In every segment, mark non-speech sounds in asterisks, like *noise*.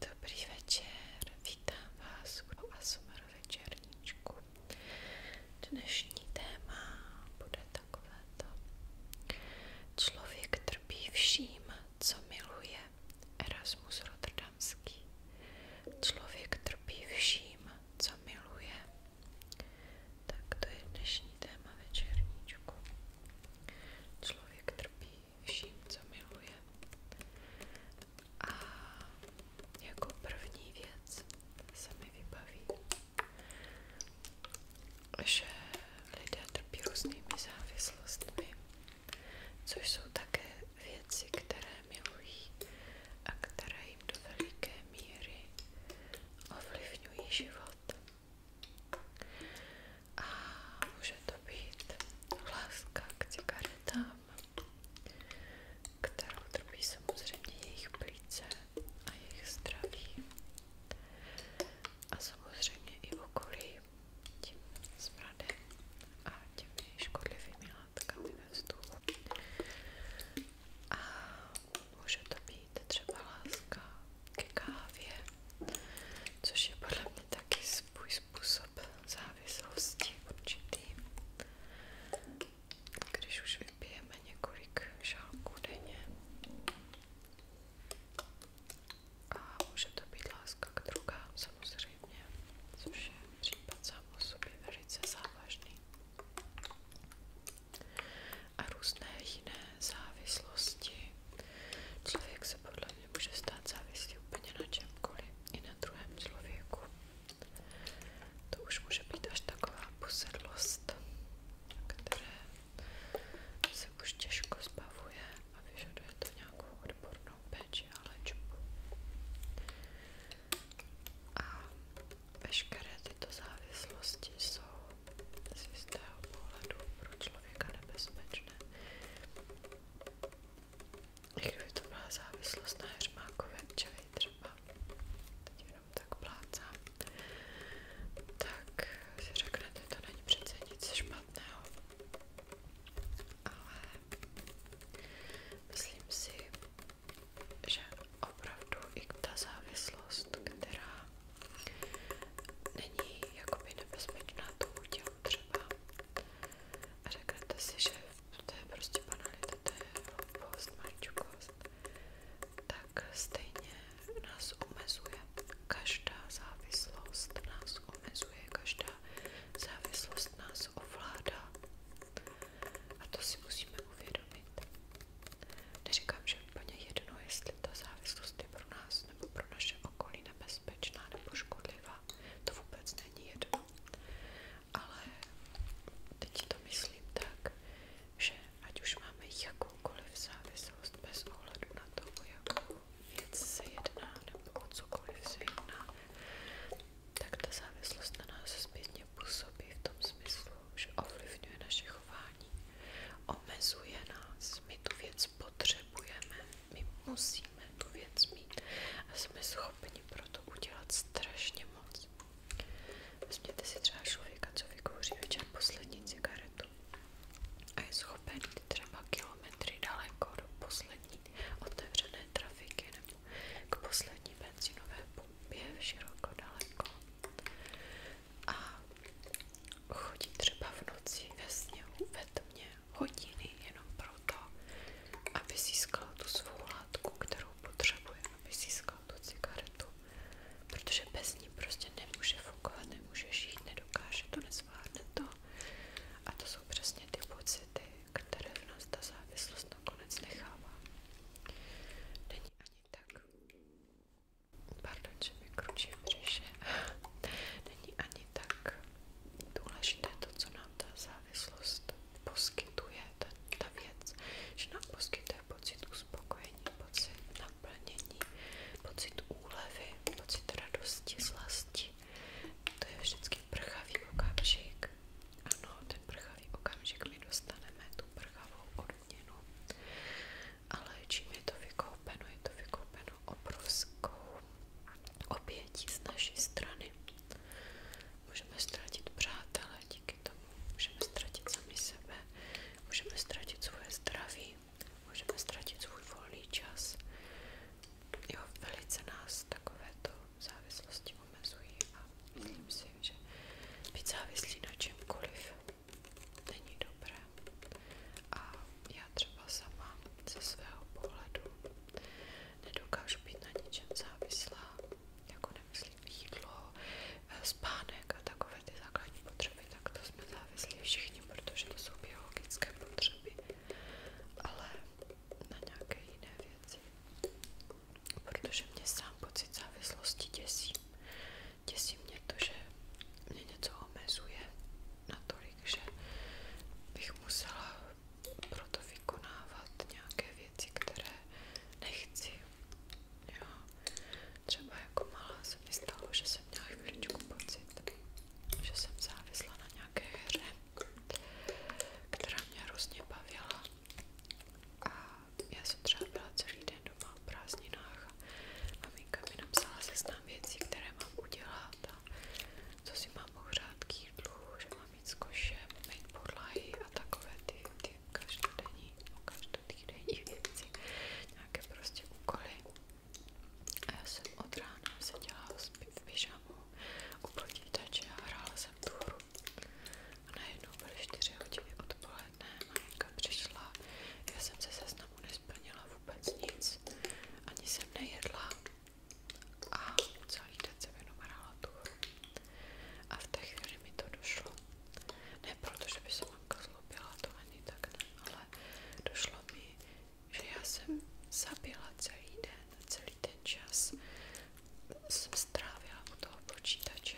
Dobrý večer, vítám vás u ASMR večerníčku. téma bude takovéto. Člověk trpí vším, co miluje Erasmus Rotterdamský. Člověk trpí vším, co miluje. Tak to je dnešní téma večerníčku. Člověk trpí vším, co miluje. A jako první věc se mi vybaví, že lidé trpí různými závislostmi což jsou také věci, které milují a které jim do veliké míry ovlivňují život. A může to být láska k cigaretám, kterou trpí samozřejmě jejich plíce a jejich zdraví. A samozřejmě i okolí tím s bradem a těmi škodlivými látkami ve vzduchu. A může to být třeba láska ke kávě, což je podle mě taky svůj způsob závislosti určitý. Když už vypijeme několik šálků denně a může to být láska k drogám samozřejmě, což je případ sám o sobě velice závažný. A různé jiné závislosti. Člověk se podle mě může stát závislý úplně na čemkoliv, i na druhém člověku. To už může být až taková posedlost, které se už těžko zbavuje a vyžaduje to nějakou odbornou péči a léčbu. A veškeré tyto závislosti jsou z jistého pohledu pro člověka nebezpečné. I kdyby to byla závislost na hermákové čili třeba, teď jenom tak plácám, tak si řeknete, to není přece nic špatného ale myslím si, že opravdu i ta závislost, která není jakoby nebezpečná tomu tělu třeba a řeknete si, že to je prostě banalita, to je hloupost, maličkost, tak stejně nás nás omezuje. Každá závislost nás omezuje, každá závislost nás ovládá. A to si musíme uvědomit. Neříkám, že úplně jedno, jestli ta závislost je pro nás nebo pro naše okolí nebezpečná nebo škodlivá. To vůbec není jedno. Ale teď to myslím tak, že ať už máme jakoukoliv závislost bez ohledu na to, o jakou věci se jedná nebo cokoliv se závislost na nás zpětně působí v tom smyslu, že ovlivňuje naše chování, omezuje nás, my tu věc potřebujeme, my musíme tu věc mít a jsme schopni pro udělat strašně moc. Vezměte si třeba člověka, co vykouří večer poslední cigaretu a je schopen třeba kilometry daleko do poslední otevřené trafiky nebo k poslední benzinové pumpě široko daleko a chodí třeba v noci ve sněhu, ve tmě hodiny jenom proto, aby získal tu svou látku, kterou potřebuje, aby získal tu cigaretu, protože bez ní prostě nemůže fungovat, nemůže žít, nedokáže to zvládne to. A to jsou přesně ty pocity, které v nás ta závislost nakonec nechává. Není ani tak. Pardon, že mi kručím břiše. *laughs* Není ani tak důležité to, co nám ta závislost poskytuje, ta, ta věc, že nám poskytuje pocit uspokojení, pocit naplnění, pocit úlevy, pocit radosti, zlasti. To je vždycky prchavý okamžik. Ano, ten prchavý okamžik my dostaneme tu prchavou odměnu. Ale čím je to vykoupeno, je to vykoupeno obrovskou obětí z naší strany. Můžeme ztratit přátelé díky tomu, můžeme ztratit sami sebe, můžeme ztratit svoje zdraví, můžeme ztratit svůj volný čas. Jo, velice nás takovéto závislosti omezují a myslím si, že být závislý na čemkoliv není dobré. A já třeba sama ze svého pohledu nedokážu být na ničem závislá, jako nemyslím jídlo, eh, spánek a takové ty základní potřeby tak to jsme závislí všichni, protože to jsou biologické ale na nějaké jiné věci. Protože mě sám pocit závislosti děsí. Děsí mě to, že mě něco omezuje natolik, že bych musela proto vykonávat nějaké věci, které nechci. Jo. Třeba jako malá se že jsem měla chvíličku pocit, že jsem závisla na nějaké hře, která mě hrozně bavila. A já jsem třeba byla celý den doma v prázdninách a maminka mi napsala seznam věcí, které mám udělat a co si mám ohřát k jídlu, že mám jít s košem, mít podlahy a takové ty, ty každodenní, no každodenní věci, nějaké prostě úkoly. A já jsem od rána seděla v pyžamu u počítače a hrála jsem tu hru. A najednou byly 4 hodiny odpoledne, maminka přišla, já jsem se seznamu nesplnila vůbec nic, ani jsem nejedla a celý den jsem jenom hrála tu hru. A v té chvíli mi to došlo. Ne proto, že by se mamka zlobila, to ani tak ne, ale došlo mi, že já jsem zabila celý den, celý ten čas jsem strávila u toho počítače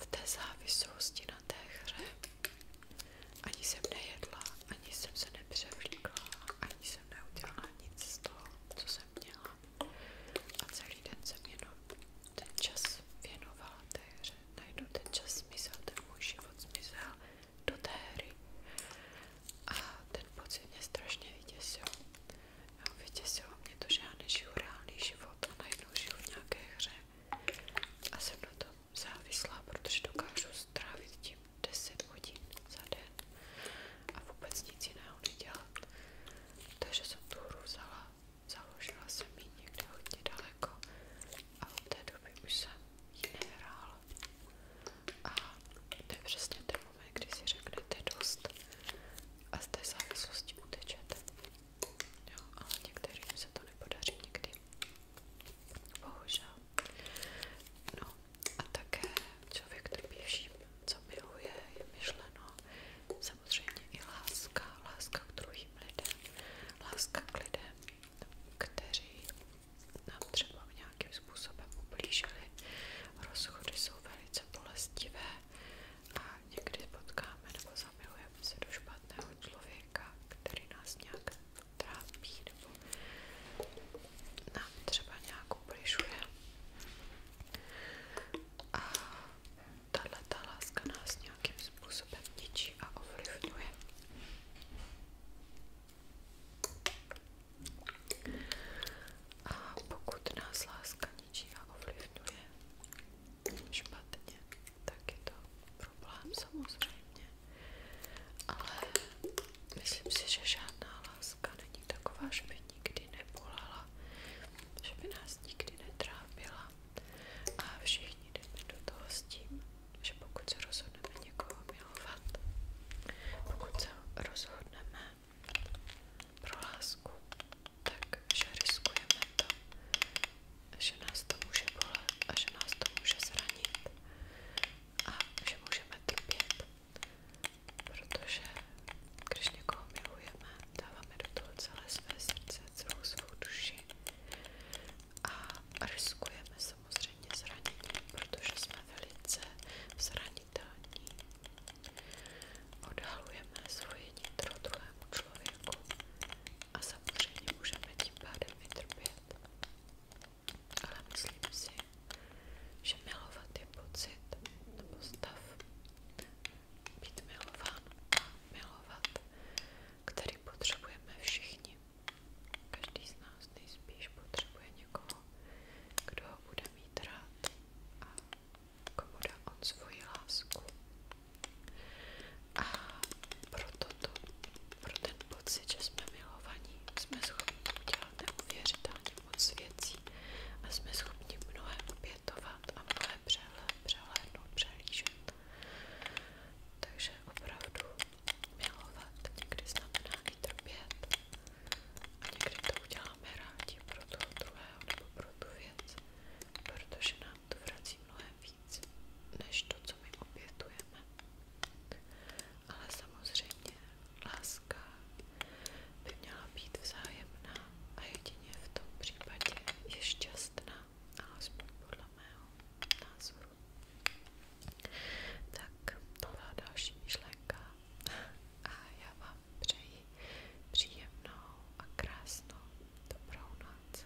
v té závislosti na té hře. Ani jsem nejedla, ani jsem se nepřevlíkla, ani jsem neudělala nic z toho, co jsem měla. A celý den jsem jenom ten čas věnovala té hře. Najednou ten čas zmizel, ten můj život zmizel do té hry. A ten pocit mě strašně vyděsil. Jo, vyděsilo mě to, že já nežiju reálný život a najednou žiju v nějaké hře. A jsem na tom závislá, protože dokážu strávit tím 10 hodin za den a vůbec nic jiného nedělat. Takže jsem tu hru vzala, založila jsem ji někde hodně daleko a od té doby už jsem ji nehrál. A to je přesně ten moment, kdy si řeknete dost a z té závislosti utečete. Jo, ale některým se to nepodaří nikdy. Bohužel. No a také člověk trpí vším, co miluje, je myšleno. Samozřejmě i láska, láska k druhým lidem, láska k lidem, kteří nám třeba nějakým způsobem ublížili. Rozchody jsou velice bolestivé a někdy potkáme nebo zamilujeme se do špatného člověka, který nás nějak trápí nebo nám třeba nějak ubližuje. A tahle ta láska nás nějakým způsobem ničí a ovlivňuje. A pokud nás láska ničího ovlivňuje špatně, tak je to problém samozřejmě. Ale myslím si, že žádná láska není taková, že by nikdy nebolala, že by nás nikdy netrápila. A všichni jdeme do toho s tím, že pokud se rozhodneme někoho milovat, pokud se rozhodneme pro lásku, takže riskujeme to, že nás to může bolet a že nás to může zranit a že můžeme trpět, protože když někoho milujeme, dáváme do toho celé své srdce, celou svou duši a riskujeme samozřejmě zranění, protože jsme velice zranitelní. Odhalujeme svoje nitro druhému člověku a samozřejmě můžeme tím pádem vytrpět. Ale myslím si, že milovat je pocit nebo stav. Být milován a milovat, který potřebujeme všichni. Každý z nás nejspíš potřebuje někoho, kdo ho bude mít rád a komu dá on svoji lásku. A proto to, pro ten pocit, že jsme milovaní, jsme schopni udělat neuvěřitelně moc věcí a jsme schopni mnohé obětovat a mnohé přehled, přehlédnout, přehlížet. Takže opravdu milovat někdy znamená i trpět a někdy to uděláme rádi pro toho nebo pro tu protože nám to vrací mnohem víc, než to, co my obětujeme. Ale samozřejmě láska by měla být vzájemná a jedině v tom případě je šťastná alespoň podle mého názoru. Tak to byla další myšlenka a já vám přeji příjemnou a krásnou dobrou noc.